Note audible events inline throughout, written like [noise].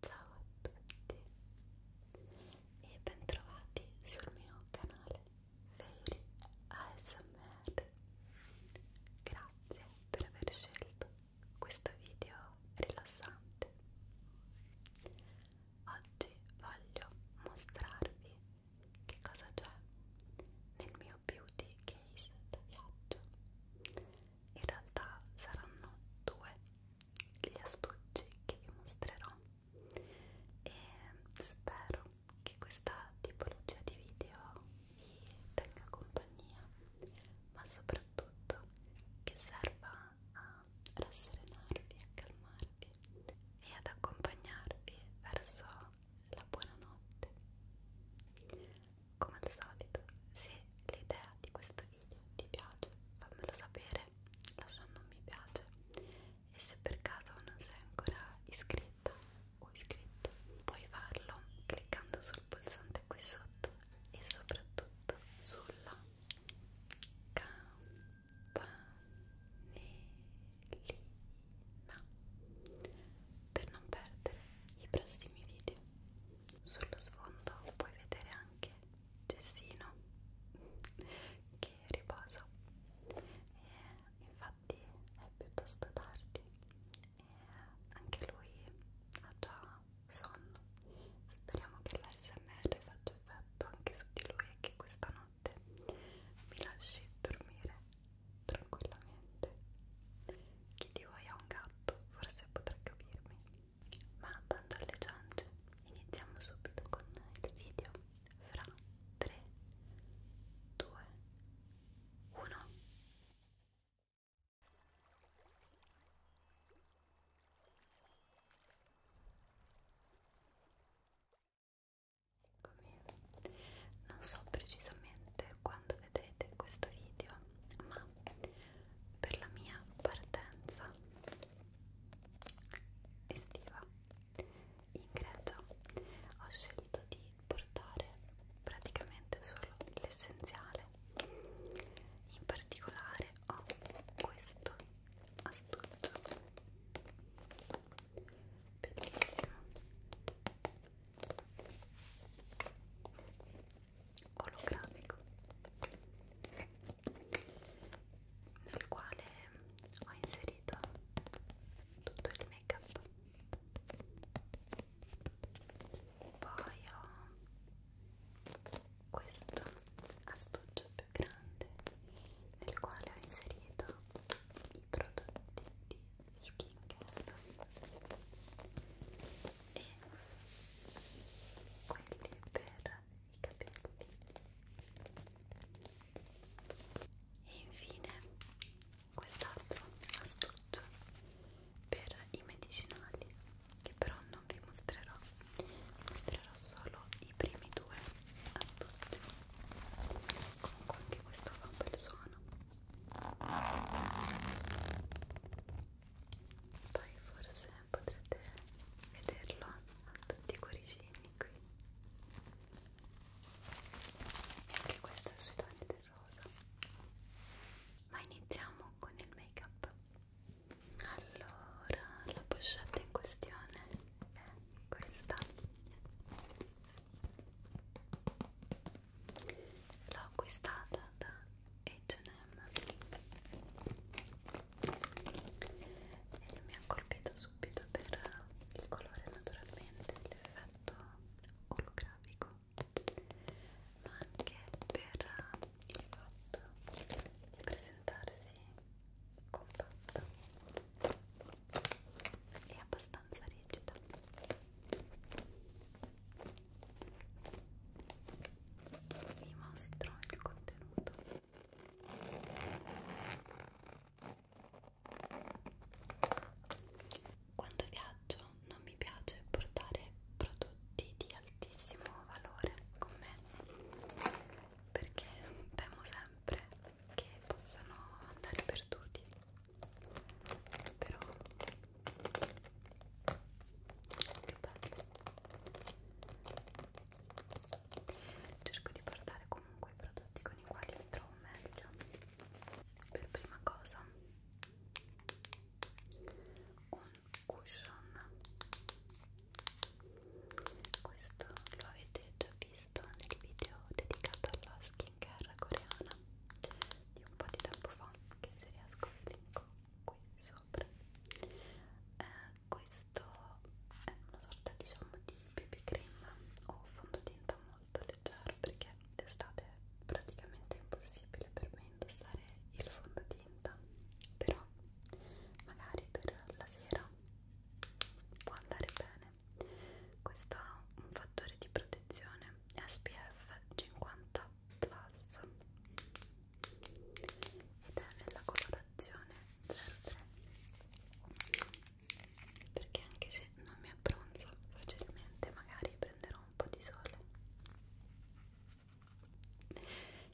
Ciao a tutti e bentrovati sul mio canale Fairy ASMR. Grazie per aver scelto questo video rilassante. Oggi voglio mostrarvi che cosa c'è nel mio beauty case da viaggio in realtà saranno due gli astucci che vi mostrerò e spero che questa tipologia di video vi tenga compagnia ma soprattutto che serva a rasserenarvi, a calmarvi e ad accompagnarvi verso la buonanotte come al solito se l'idea di questo video ti piace fammelo sapere lasciando un mi piace e se per caso non sei ancora iscritta o iscritto puoi farlo cliccando sul pulsante qui sotto e soprattutto sulla campanellina per non perdere i prossimi video sullo sfondo puoi vedere anche Gessino che riposa e infatti è piuttosto tardi e anche lui ha già sonno speriamo che l'ASMR faccia effetto anche su di lui e che questa notte mi lasci dormire tranquillamente chi di voi ha un gatto forse potrà capirmi. Ma bando alle ciance, iniziamo subito con il video. Fra 3, 2, 1. Eccomi. Non so precisamente quando vedrete in questo video, ma per la mia partenza estiva in Grecia ho scelto di portare praticamente solo l'essenziale. In particolare ho questo astuccio bellissimo olografico nel quale ho inserito tutto il make up poi ho questo astuccio più grande nel quale ho inserito i prodotti di skincare e quelli per i capelli e infine quest'altro astuccio per i medicinali che però non vi mostrerò mostrerò solo i primi due astucci comunque anche questo fa un bel suono poi forse potrete vederlo a tutti i cuoricini qui e anche questo è sui toni del rosa ma iniziamo con il make up allora la pochette in questione è questa l'ho acquistata da H&M e mi ha colpito subito per il colore naturalmente, l'effetto olografico ma anche per il fatto di presentarsi compatta e abbastanza rigida prima si trova il contenuto quando viaggio non mi piace portare prodotti di altissimo valore con me perché temo sempre che possano andare perduti però che bello cerco di portare comunque i prodotti con i quali mi trovo meglio per prima cosa un cushion questo lo avete già visto nel video dedicato alla skin skincare coreana di un po' di tempo fa che se riesco vi linko qui sopra eh, questo è una sorta diciamo di BB cream o fondotinta molto leggero perché d'estate è praticamente impossibile per me indossare il fondotinta però magari per la sera può andare bene questo ha un fattore di protezione SPF 50 Plus ed è nella colorazione 03 perché anche se non mi abbronzo facilmente magari prenderò un po' di sole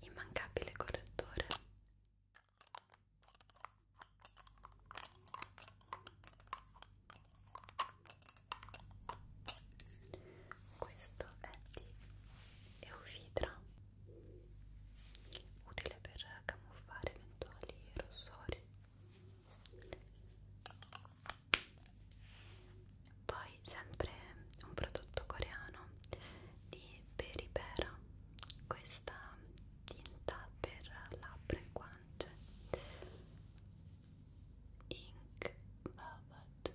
immancabile correttore questo è di Eufitra utile per camuffare eventuali rossori poi sempre un prodotto coreano di Peripera questa tinta per labbra e guance Ink Velvet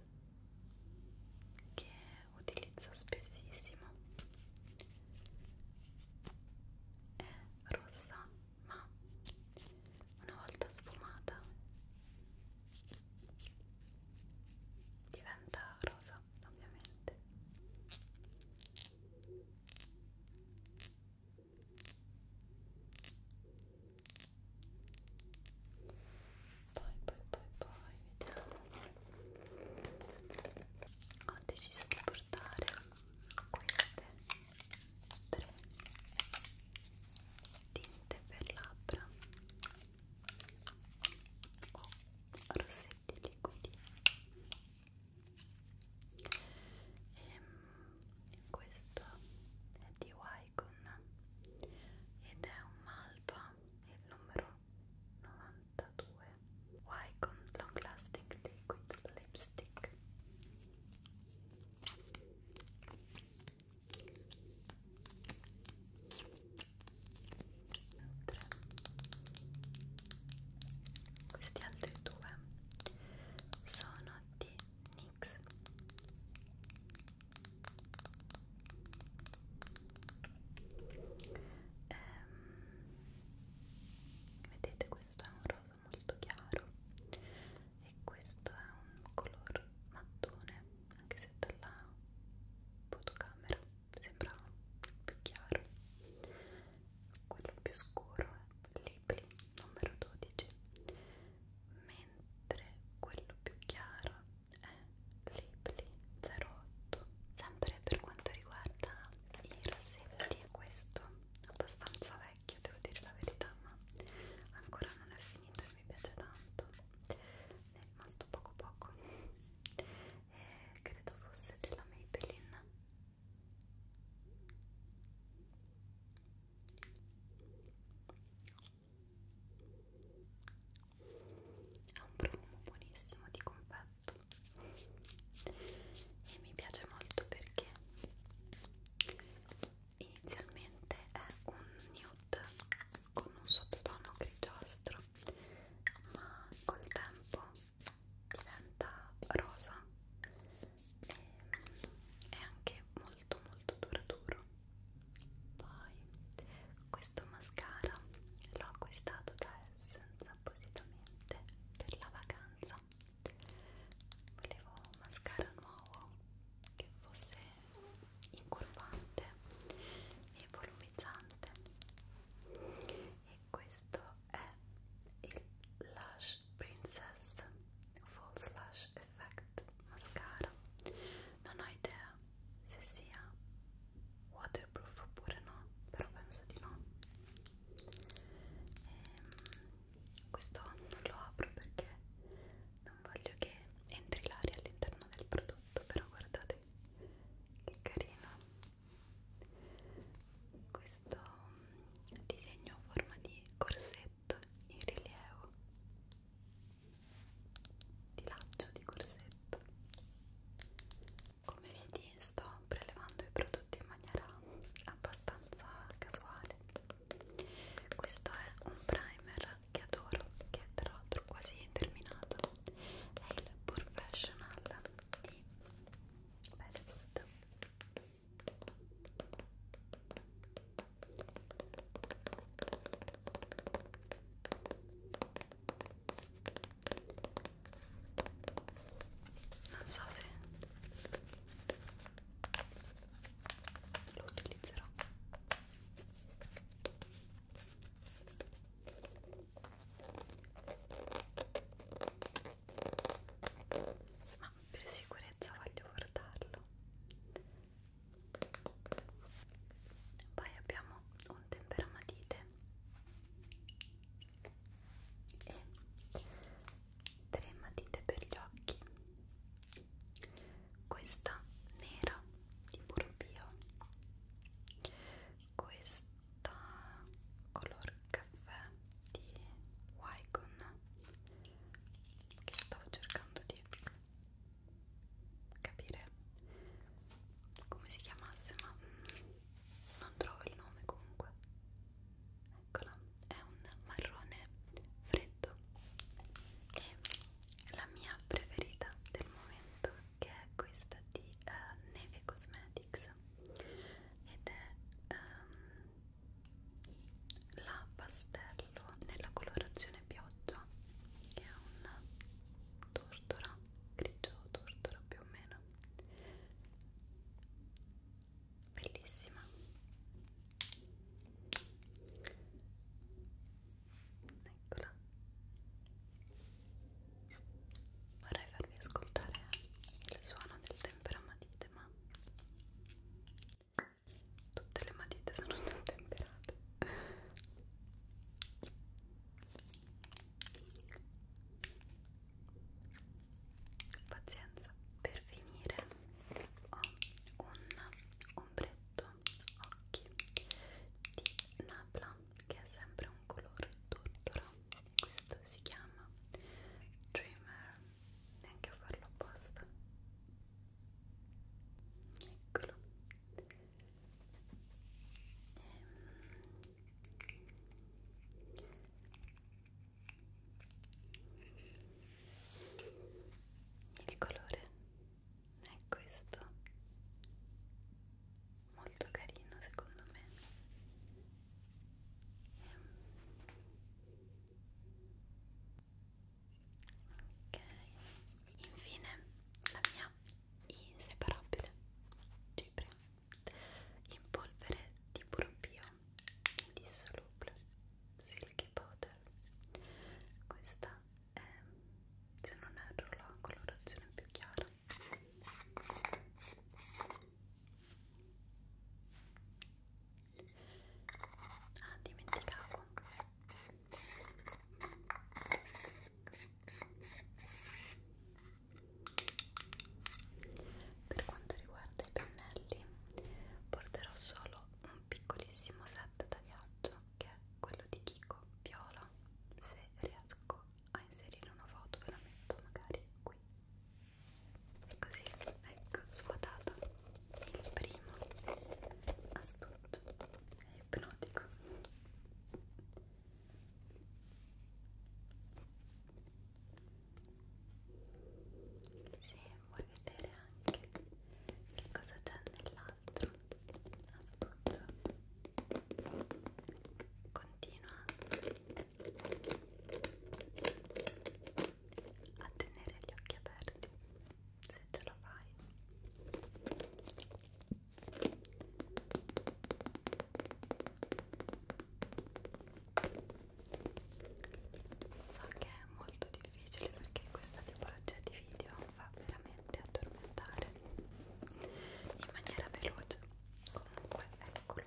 che utilizzo spessissimo è rossa ma una volta sfumata diventa rosa ovviamente poi poi poi vediamo ho deciso di portare queste tre tinte per labbra o rossetti liquidi e ehm, questo è di Wycon ed è un malva il numero 92 Wycon Long Lasting Liquid Lipstick Mentre questi altri due sono di NYX ehm, vedete questo è un rosa molto chiaro e questo è un color mattone anche se dalla fotocamera sembra più chiaro quello più scuro è eh, Libri numero 12 mentre quello più chiaro è Libri 08 sempre per quanto riguarda i rossetti questo è abbastanza vecchio devo dire la verità ma ancora non è finito e mi piace tanto ne è rimasto poco poco e credo fosse della Maybelline ha un profumo buonissimo di confetto e mi piace molto perché inizialmente è un nude con un sottotono grigiastro ma col tempo diventa rosa e è anche molto molto duraturo poi questo mascara l'ho acquistato da Essence appositamente per la vacanza volevo un mascara nuovo che fosse incurvante e volumizzante e questo è il Lash Lash Princess False Lash Effect Mascara non ho idea se sia waterproof oppure no però penso di no e, ehm, questo non lo apro perché non voglio che entri l'aria all'interno del prodotto però guardate che carino questo disegno a forma di corsetto in rilievo di laccio di corsetto come vedi sto prelevando i prodotti in maniera abbastanza casuale questo è un primer che adoro che è tra l'altro quasi terminato è il Professional di bella tutta non so se lo utilizzerò ma per sicurezza voglio guardarlo poi abbiamo un temperamatite e tre matite per gli occhi questa nera di puro bio questa palettetta color caffè di Wycon che stavo cercando di capire come si chiamasse ma non trovo il nome comunque eccola è un marrone freddo e la mia preferita del momento che è questa di uh, Neve Cosmetics ed è um, la pastello nella colorazione pioggia che è un tortora grigio tortora più o meno bellissima eccola vorrei farvi ascoltare il suono del temperamatite ma tutte le matite sono [laughs] non temperate pazienza per finire ho un ombretto occhi di napla che è sempre un colore tortora questo si chiama Dreamer neanche a farlo apposta eccolo ehm. il colore è questo molto carino secondo me ok infine la mia inseparabile cipria in polvere di proprio indissolubile silky powder questa è se non erro la colorazione più chiara Ah, dimenticavo. Per quanto riguarda i pennelli, porterò solo un piccolissimo set da viaggio che è quello di Kiko Viola, se riesco a inserire una foto ve la metto magari qui così ecco svuotata il primo astuto è ipnotico se vuoi vedere anche che cosa c'è nell'altro astuto Continua a tenere gli occhi aperti se ce la fai. So che è molto difficile perché questa tipologia di video fa veramente addormentare in maniera veloce comunque eccolo qui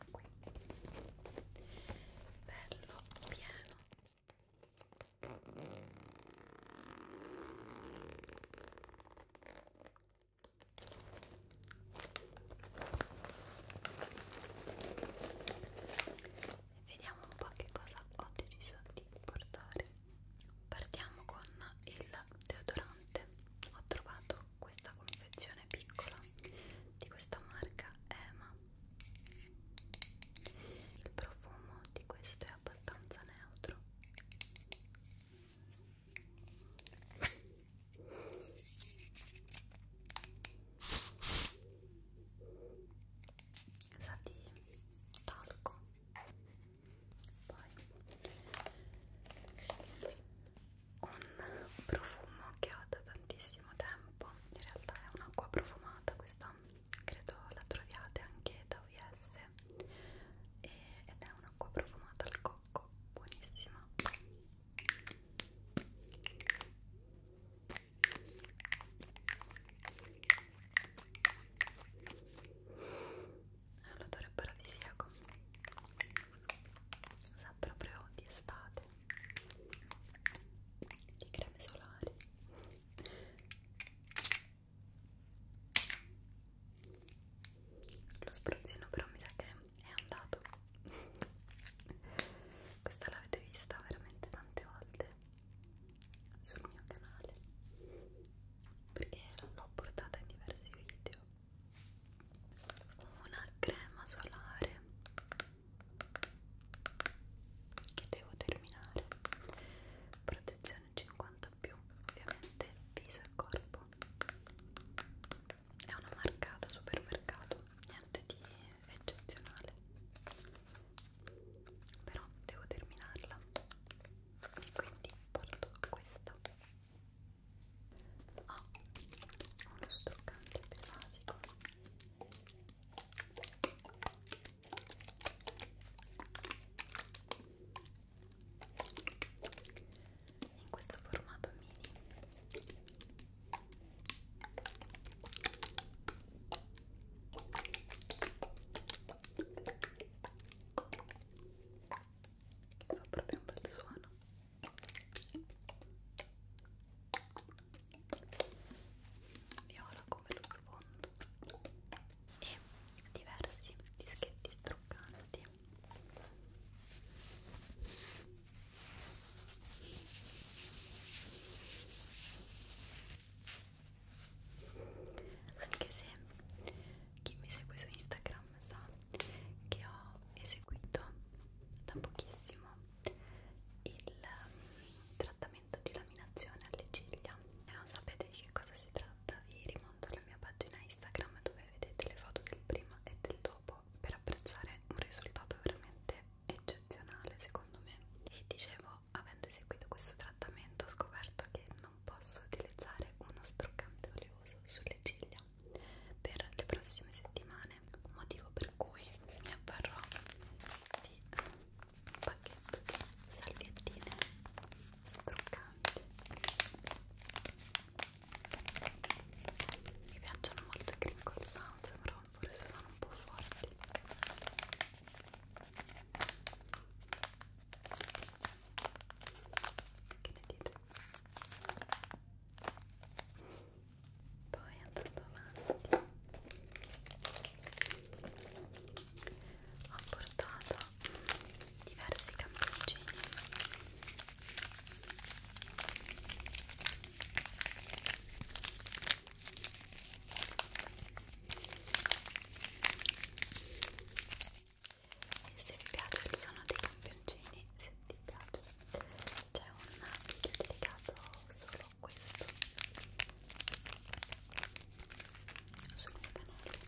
bello pieno e vediamo un po' che cosa ho deciso di portare partiamo con il deodorante ho trovato questa confezione piccola di questa marca Ema il profumo di questo è abbastanza neutro sa di talco poi un profumo che ho da tantissimo tempo in realtà è un'acqua profumata questa credo la troviate anche da US e, ed è un'acqua profumata al cocco buonissima ha l'odore paradisiaco sa proprio di estate di creme solari lo spruzzino però mi sa che è andato questa l'avete vista veramente tante volte sul mio canale perché l'ho portata in diversi video una crema solare che devo terminare protezione 50 più ovviamente viso e corpo è una marcata supermercato niente di eccezionale però devo terminarla e quindi porto questa ha uno struccante più basico in questo formato mini che fa proprio un bel suono viola come lo sfondo e diversi dischetti struccanti anche se chi mi segue su Instagram sa che ho eseguito da pochissimo il mm, trattamento di laminazione alle ciglia e non sapete di che cosa si tratta vi rimonto alla mia pagina Instagram dove vedete le foto del prima e del dopo per apprezzare un risultato veramente eccezionale secondo me e dicevo avendo eseguito questo trattamento ho scoperto che non posso utilizzare uno struccante oleoso sulle ciglia per le prossime settimane motivo per cui mi avvarrò di un pacchetto di salviettine struccanti mi piacciono molto i crinkle sounds però pure se sono un po' forti che ne dite? Poi andando avanti ho portato diversi campioncini e se vi piace il suono dei campioncini se ti piace c'è un video dedicato solo a questo sul mio canale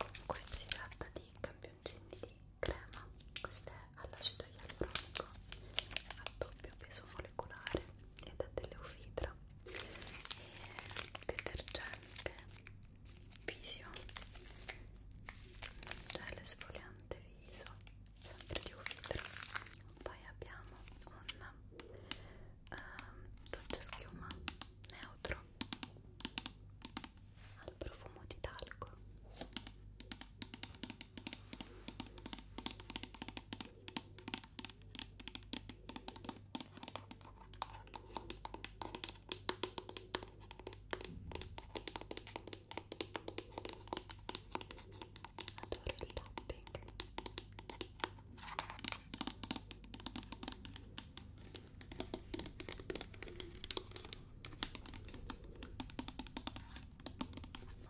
comunque si tratta di campioncini di crema questo è all'acido ialuronico a doppio peso molecolare e da Teleufitra e detergente viso gel esfoliante viso sempre di Ufitra poi abbiamo un um, dolce schiuma neutro al profumo di talco Adoro il tapping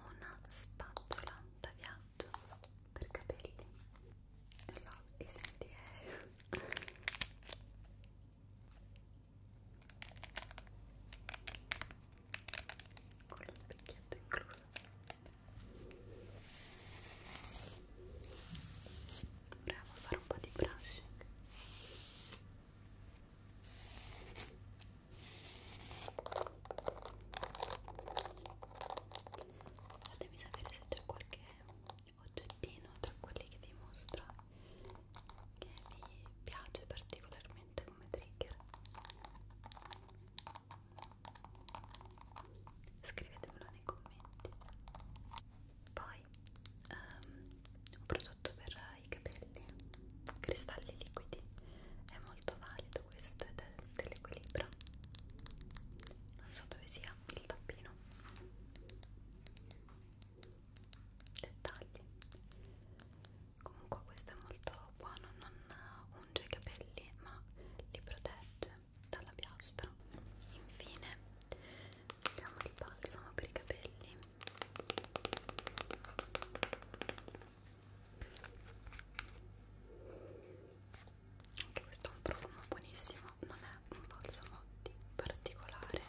una spazzola da viaggio maggio per capelli e no, e senti eh. con lo specchietto incluso proviamo a fare un po' di brushing fatemi sapere se c'è qualche oggettino tra quelli che vi mostro che vi piace particolarmente come trigger scrivetemelo nei commenti poi um, un prodotto per i capelli cristalli liquidi è molto valido detto questo è del, dell'equilibrio non so dove sia il tappino dettagli comunque questo è molto buono non unge i capelli ma li protegge dalla piastra infine abbiamo il balsamo per i capelli anche questo ha un profumo buonissimo non è un balsamo di particolare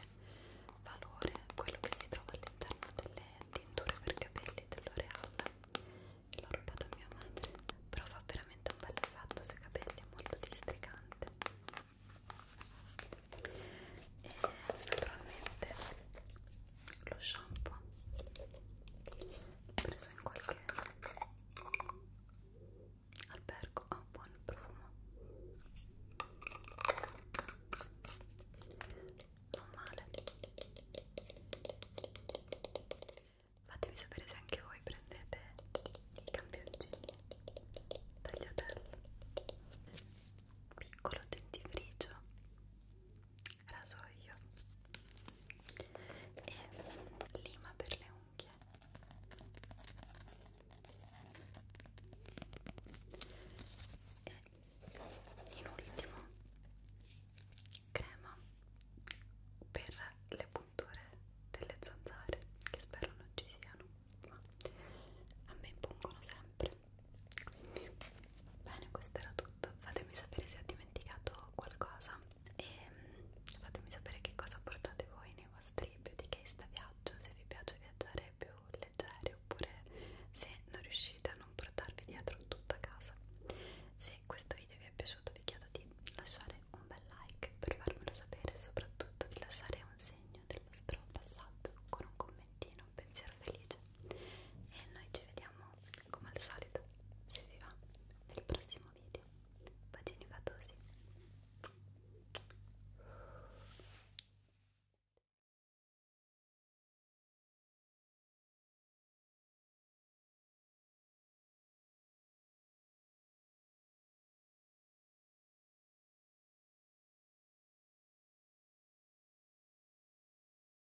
valore quello che si trova all'interno delle tinture per capelli dell'Oreal l'ho rubato a mia madre però fa veramente un bel effetto sui capelli è molto districante e naturalmente lo shampoo preso in qualche albergo ha oh, buon profumo non male fatemi sapere se anche voi prendete i campioncini tagliatelle piccolo dentifricio rasoio e lima per le unghie e in ultimo crema per le punture delle zanzare che spero non ci siano ma a me impongono sempre quindi Bene, questo era tutto. Fatemi sapere se ho dimenticato qualcosa e mm, fatemi sapere che cosa portate voi nei vostri beauty case da viaggio, se vi piace viaggiare più leggeri oppure se non riuscite a non portarvi dietro tutta casa. Se questo video vi è piaciuto vi chiedo di lasciare un bel like per farmelo sapere e soprattutto di lasciare un segno del vostro passaggio con un commentino, un pensiero felice. E noi ci vediamo come al solito, se vi va, nel prossimo video. Bacini gatosi!